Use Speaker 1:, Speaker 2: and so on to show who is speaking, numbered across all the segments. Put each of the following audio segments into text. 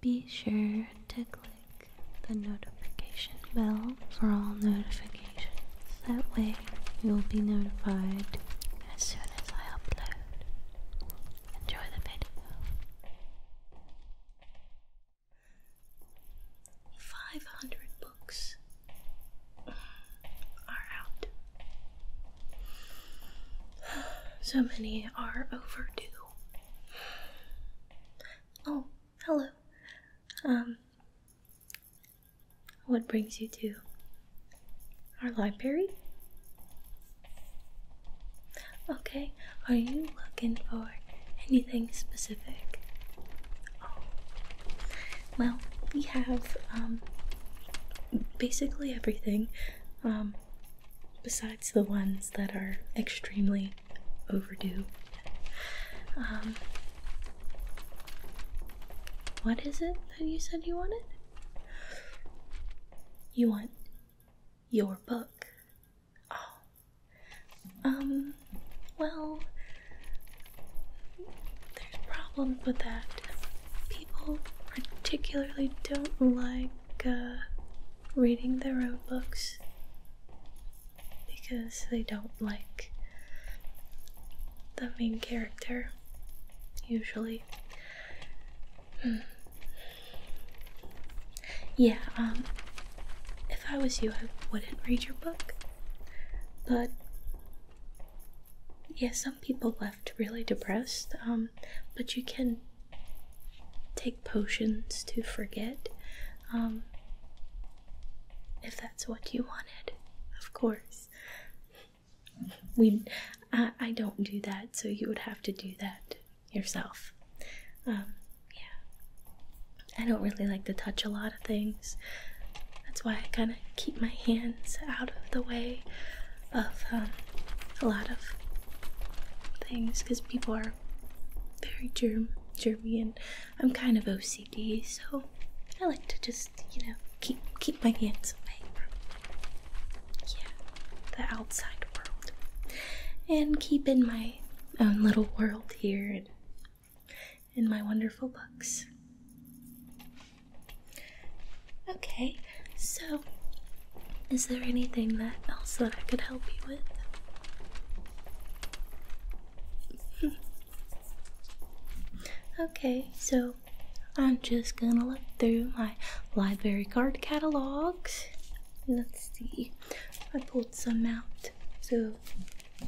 Speaker 1: Be sure to click the notification bell for all notifications. That way, you'll be notified as soon as I upload. Enjoy the video. 500 books are out. So many are overdue. Oh, hello. Um, what brings you to our library? Okay, are you looking for anything specific? Oh, well, we have um basically everything um besides besides the ones that are extremely overdue. Um, what is it that you said you wanted? You want your book. Oh. Um, well, there's problems with that. People particularly don't like, uh, reading the road books because they don't like the main character, usually. Hmm. Yeah, um, if I was you, I wouldn't read your book. But yeah, some people left really depressed. Um, um, but you can take potions to forget, um, if that's what you wanted, of course. We, I, don't do that, so you would have to do that yourself. Um, yeah, I don't really like to touch a lot of things. That's why I kind of keep my hands out of the way of a lot of things because people are very germ germy and I'm kind of OCD, so I like to just, you know, keep keep my hands away from yeah, the outside world. And keep in my own little world here and in my wonderful books. Okay, so is there anything else that I could help you with? okay, so I'm just gonna look through my library card catalogs. Let's see. I pulled some out so I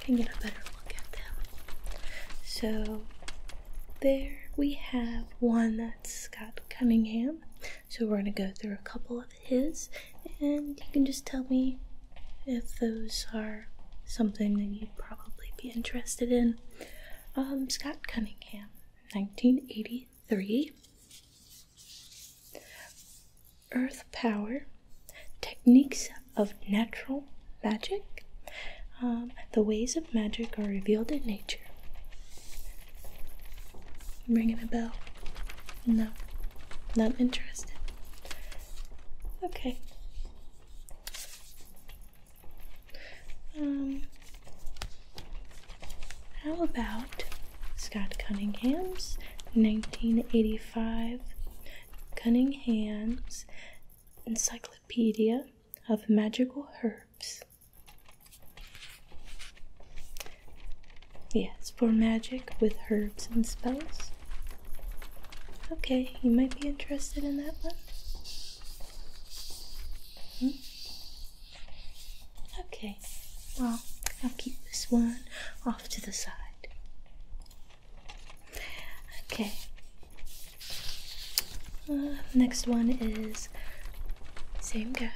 Speaker 1: can get a better look at them. So there we have one that's got Cunningham. So we're going to go through a couple of his, and you can just tell me if those are something that you'd probably be interested in. Um, Scott Cunningham, 1983. Earth Power, Techniques of Natural Magic, um, The Ways of magic are revealed in nature. Ringing a bell? No, not interested. Okay. Um, how about Scott Cunningham's 1985 Cunningham's Encyclopedia of Magical Herbs? Yes, for magic with herbs and spells. Okay, you might be interested in that one. Hmm? Okay, well, I'll keep this one off to the side. Okay. Uh, next one is same guy.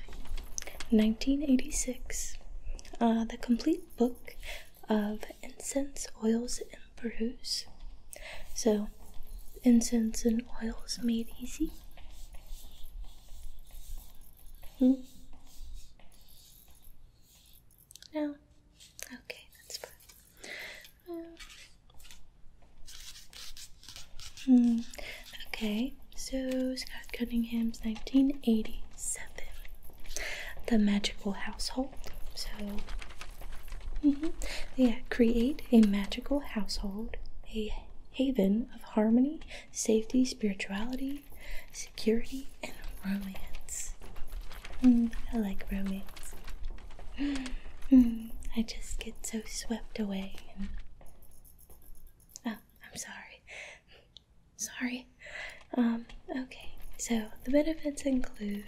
Speaker 1: 1986. Uh, the complete book of incense, oils, and peruse. So, incense and oils made easy. Hmm. Okay, that's fine. Uh, Hmm. Okay, so Scott Cunningham's 1987. The Magical Household. So, mm-hmm. yeah, create a magical household, a haven of harmony, safety, spirituality, security, and romance. Mm, I like romance. Mm, I just get so swept away Oh, I'm sorry. sorry. Um, okay, so the benefits include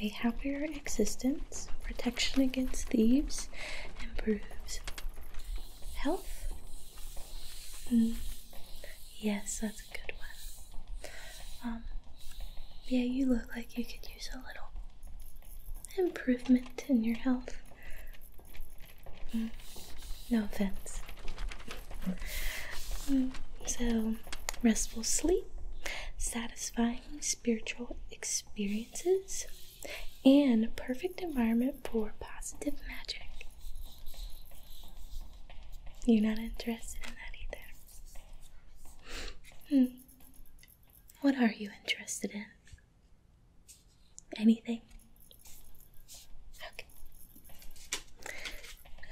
Speaker 1: a happier existence, protection against thieves, improves health. Mm. Yes, that's a good one. Um, yeah, you look like you could use a little improvement in your health. Mm. No offense. Mm. So, restful sleep, satisfying spiritual experiences, and perfect environment for positive magic. You're not interested in that either. Hmm. What are you interested in? Anything? Okay.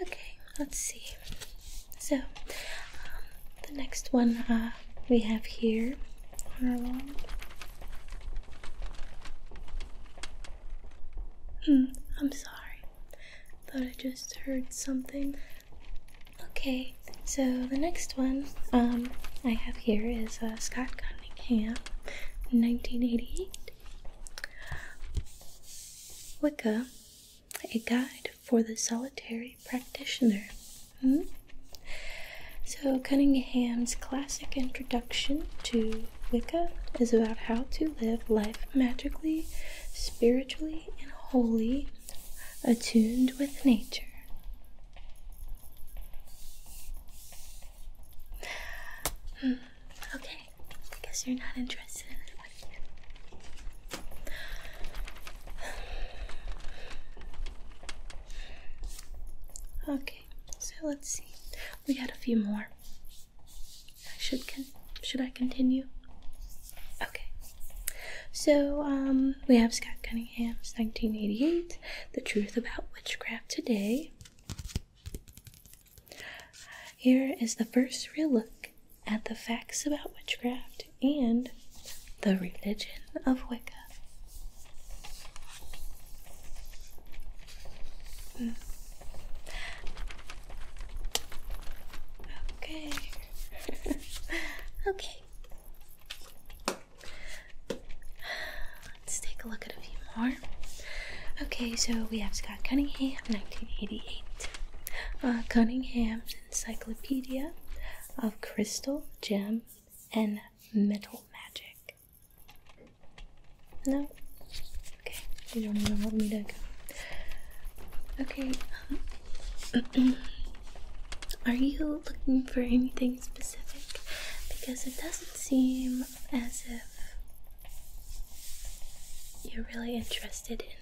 Speaker 1: Okay, let's see. So, um, the next one uh, we have here hmm, I'm sorry. Thought I just heard something. Okay, so the next one um, I have here is uh, Scott Cunningham, 1988. Wicca, a guide for the solitary practitioner. Hmm? So, Cunningham's classic introduction to Wicca is about how to live life magically, spiritually, and wholly attuned with nature. Hmm, okay, I guess you're not interested Okay, so let's see. We got a few more. Should con should I continue? Okay. So um we have Scott Cunningham's 1988, The Truth About Witchcraft Today. Here is the first real look at the facts about witchcraft and the religion of Wicca. Hmm. Okay. okay. Let's take a look at a few more. Okay, so we have Scott Cunningham, 1988. Uh, Cunningham's Encyclopedia of Crystal, Gem, and Metal Magic. No? Okay, you don't even want me to go. Okay, um, are you looking for anything specific? because it doesn't seem as if you're really interested in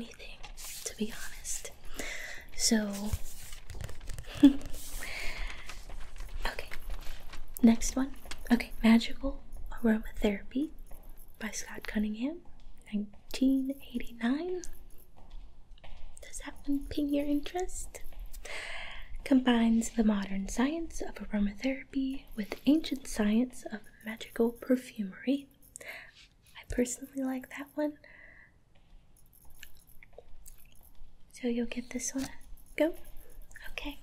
Speaker 1: anything, to be honest. So, okay, next one. Okay, Magical Aromatherapy by Scott Cunningham, 1989. Does that one pique your interest? Combines the modern science of aromatherapy with ancient science of magical perfumery. I personally like that one. So you'll give this one go? Okay.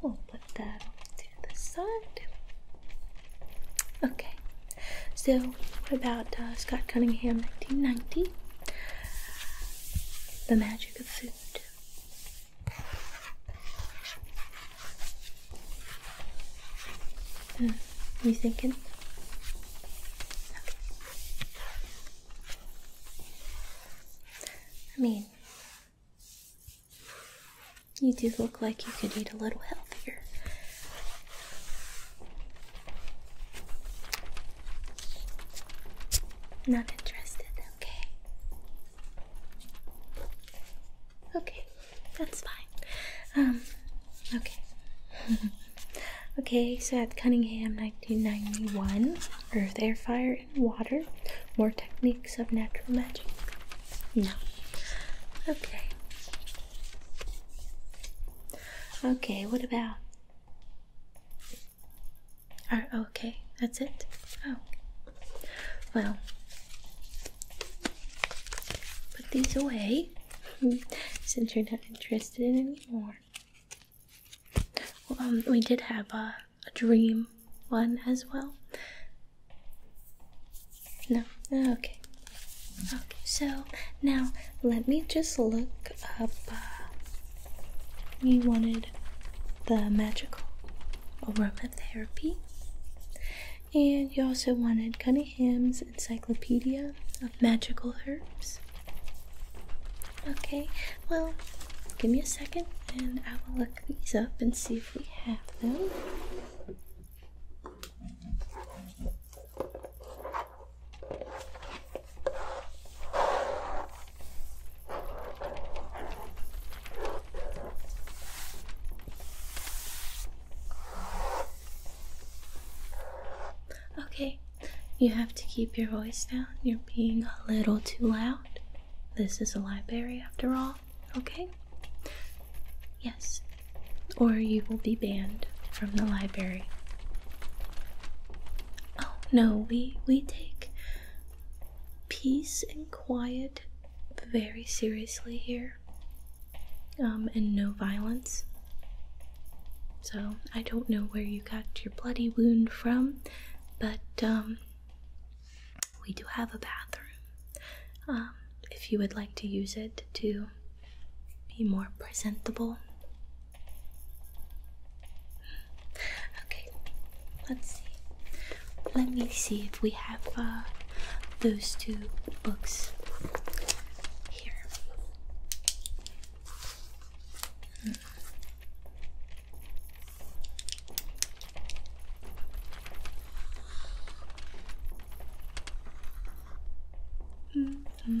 Speaker 1: We'll put that to the side. Okay. So, what about uh, Scott Cunningham, 1990? The Magic of Food. Hmm, you thinking? I mean, you do look like you could eat a little healthier. Not interested, okay. Okay, that's fine. Um, okay. okay, so at Cunningham 1991, Earth, Air, Fire, and Water. More techniques of natural magic? No. Okay. Okay, what about? Are oh, okay? That's it. Oh, well, put these away since you're not interested in anymore. Well, um, we did have a dream one as well. No, okay. Okay, so now let me just look up. Uh, you wanted the magical aromatherapy, and you also wanted Cunningham's Encyclopedia of Magical Herbs. Okay, well, give me a second and I will look these up and see if we have them. Okay, you have to keep your voice down. You're being a little too loud. This is a library after all, okay? Yes, or you will be banned from the library. Oh no, we we take peace and quiet very seriously here. Um, and no violence. So, I don't know where you got your bloody wound from, but um, we do have a bathroom. Um, if you would like to use it to be more presentable. Okay, let's see. Let me see if we have uh, those two books here. Hmm. -hmm. hmm.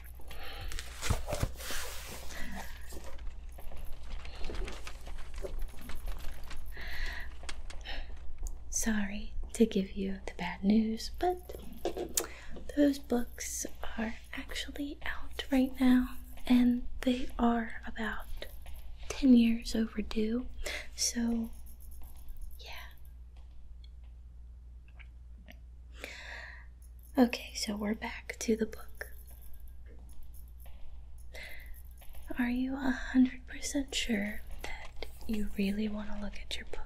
Speaker 1: Sorry to give you the bad news, but those books are actually out right now and they are about 10 years overdue. So, yeah. Okay, so we're back to the book. Are you a hundred percent sure that you really want to look at your book?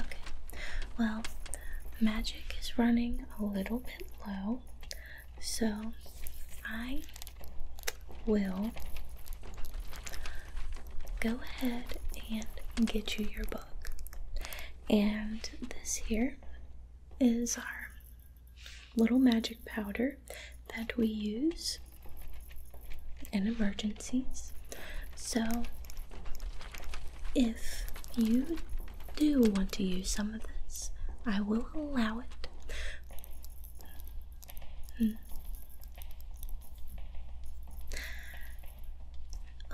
Speaker 1: Okay, well, magic is running a little bit low, so I will go ahead and get you your book. And this here is our little magic powder that we use in emergencies. So, if you do want to use some of this, I will allow it. Hmm.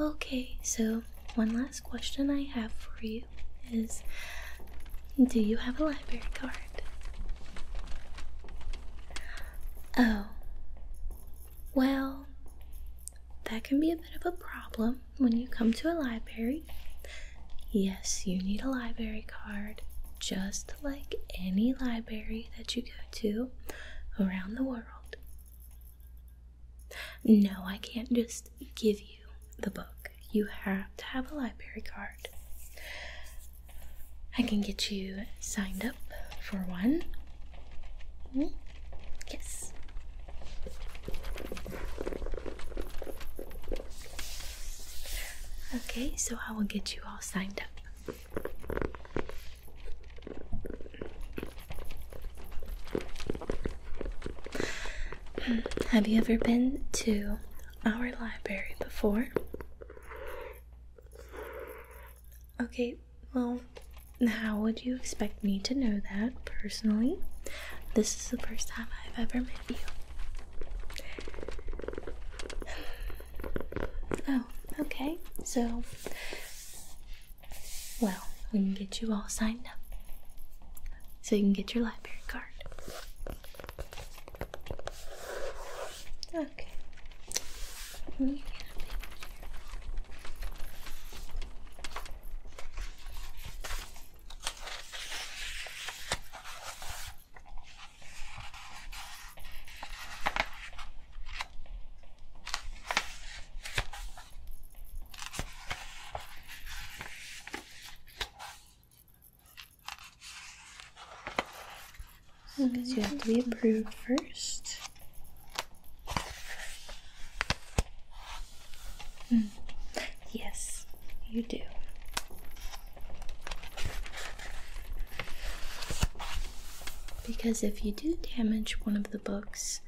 Speaker 1: Okay, so one last question I have for you is Do you have a library card? Oh, well, that can be a bit of a problem when you come to a library. Yes, you need a library card just like any library that you go to around the world. No, I can't just give you the book. You have to have a library card. I can get you signed up for one. Hmm? Yes. Okay, so I will get you all signed up. Have you ever been to our library before? Okay, well, how would you expect me to know that personally? This is the first time I've ever met you. Oh, okay. So, well, we can get you all signed up. So you can get your library card. Okay. Because you have to be approved first. Mm. Yes, you do. Because if you do damage one of the books,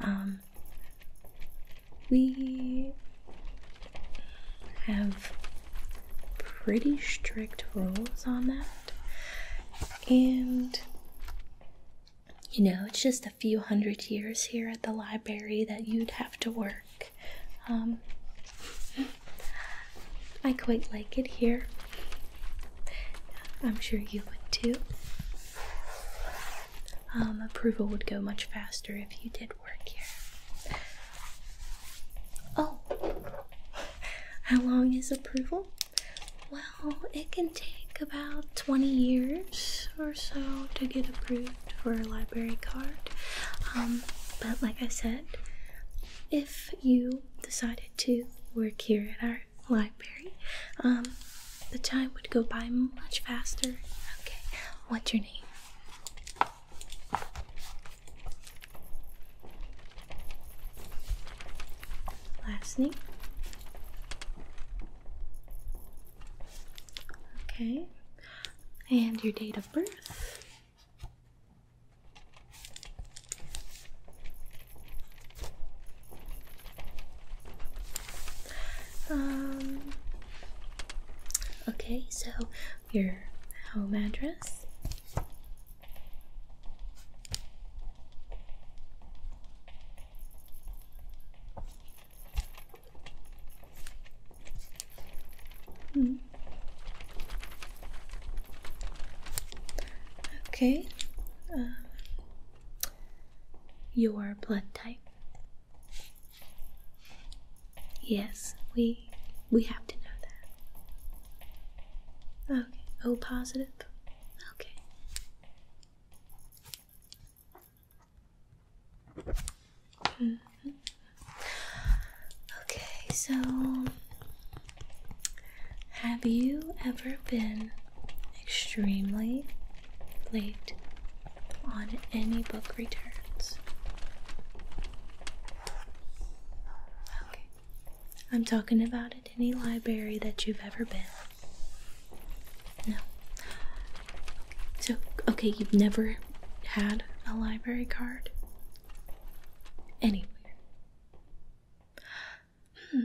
Speaker 1: um, we have pretty strict rules on that. And, you know, it's just a few hundred years here at the library that you'd have to work. Um, I quite like it here. I'm sure you would too. Um, approval would go much faster if you did work here. Oh, how long is approval? Well, it can take about 20 years or so to get approved for a library card. Um, but like I said, if you decided to work here at our library, um, the time would go by much faster. Okay, what's your name? Last name? Okay, and your date of birth? Um, okay, so your home address. Hmm. Okay. Um, your blood type. Yes, we we have to know that. Okay. O positive. Okay. Mm-hmm. Okay, so have you ever been extremely late on any book returns? Okay, I'm talking about at any library that you've ever been. No. So, okay, you've never had a library card? Anyway, Hmm,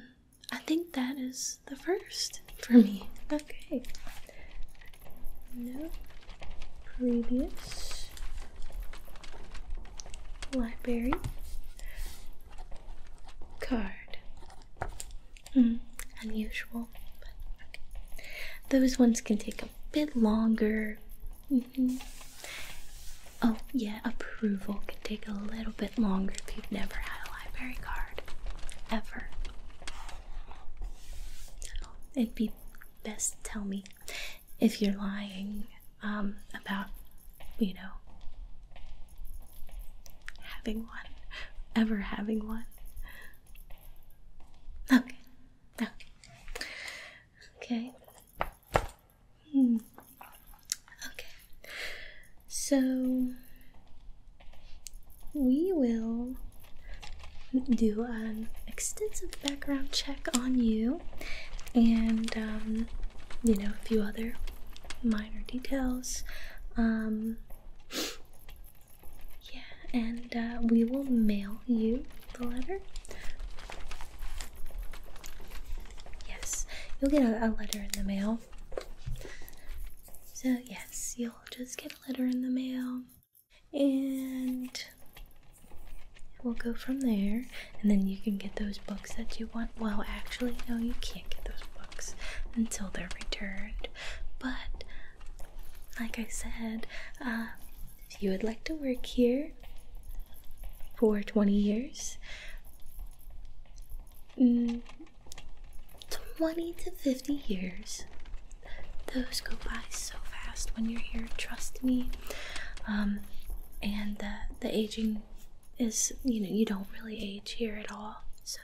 Speaker 1: I think that is the first for me. Okay. No previous library card. Hmm, unusual, but Those ones can take a bit longer Oh, yeah, approval can take a little bit longer if you've never had a library card. Ever. it'd be best to tell me if you're lying um, about, you know, having one, ever having one. Okay. Okay. Okay. Hmm. Okay. So we will do an extensive background check on you and um, you know a few other minor details um, yeah and uh, we will mail you the letter. Yes, you'll get a, letter in the mail. So, yes, you'll just get a letter in the mail, and we'll go from there. And then you can get those books that you want. Well, actually, no, you can't get those books until they're returned. But, like I said, uh, if you would like to work here for 20 years, mm, 20 to 50 years, those go by so fast when you're here, trust me. Um, and uh, the, aging is, you know, you don't really age here at all, so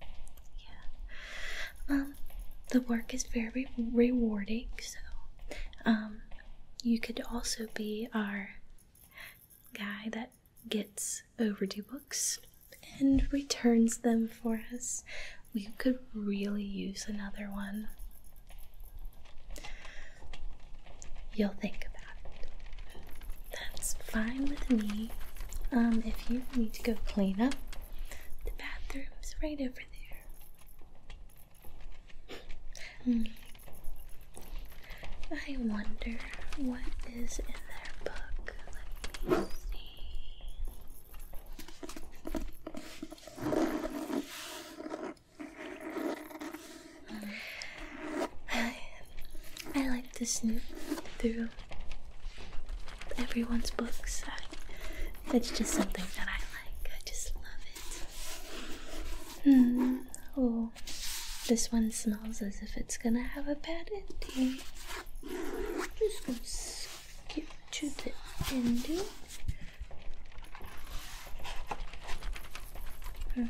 Speaker 1: yeah. Um, the work is very rewarding, so um, you could also be our guy that gets overdue books and returns them for us. We could really use another one. You'll think about it. That's fine with me. Um, if you need to go clean up, the bathroom's right over there. Hmm. I wonder what is in their book. Let me see. Hmm. I, like to snoop through everyone's books. That's just something that I like. I just love it. Hmm. Oh, this one smells as if it's gonna have a bad ending. just gonna skip to the ending. Hmm.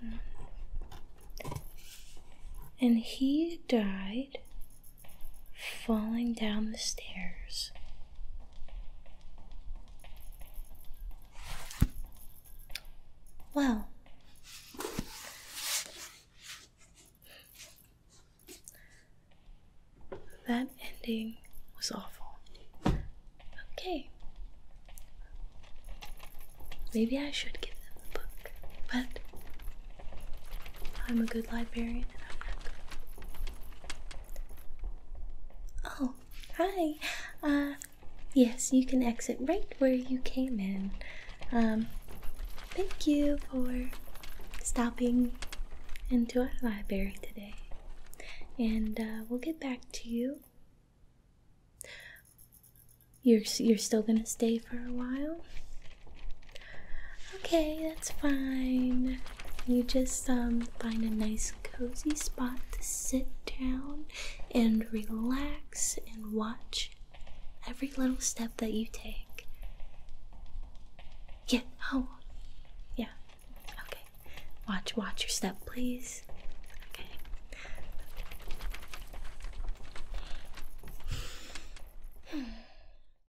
Speaker 1: Hmm. And he died falling down the stairs. Well, that ending was awful. Okay. Maybe I should give them the book, but I'm a good librarian and I'm not good. Oh, hi. Uh, yes, you can exit right where you came in. Um, thank you for stopping into our library today. And uh, we'll get back to you. You're, you're still gonna stay for a while? Okay, that's fine. You just um find a nice cozy spot to sit down and relax and watch every little step that you take. Yeah, oh. Yeah. Okay. Watch watch your step, please. Okay. Hmm.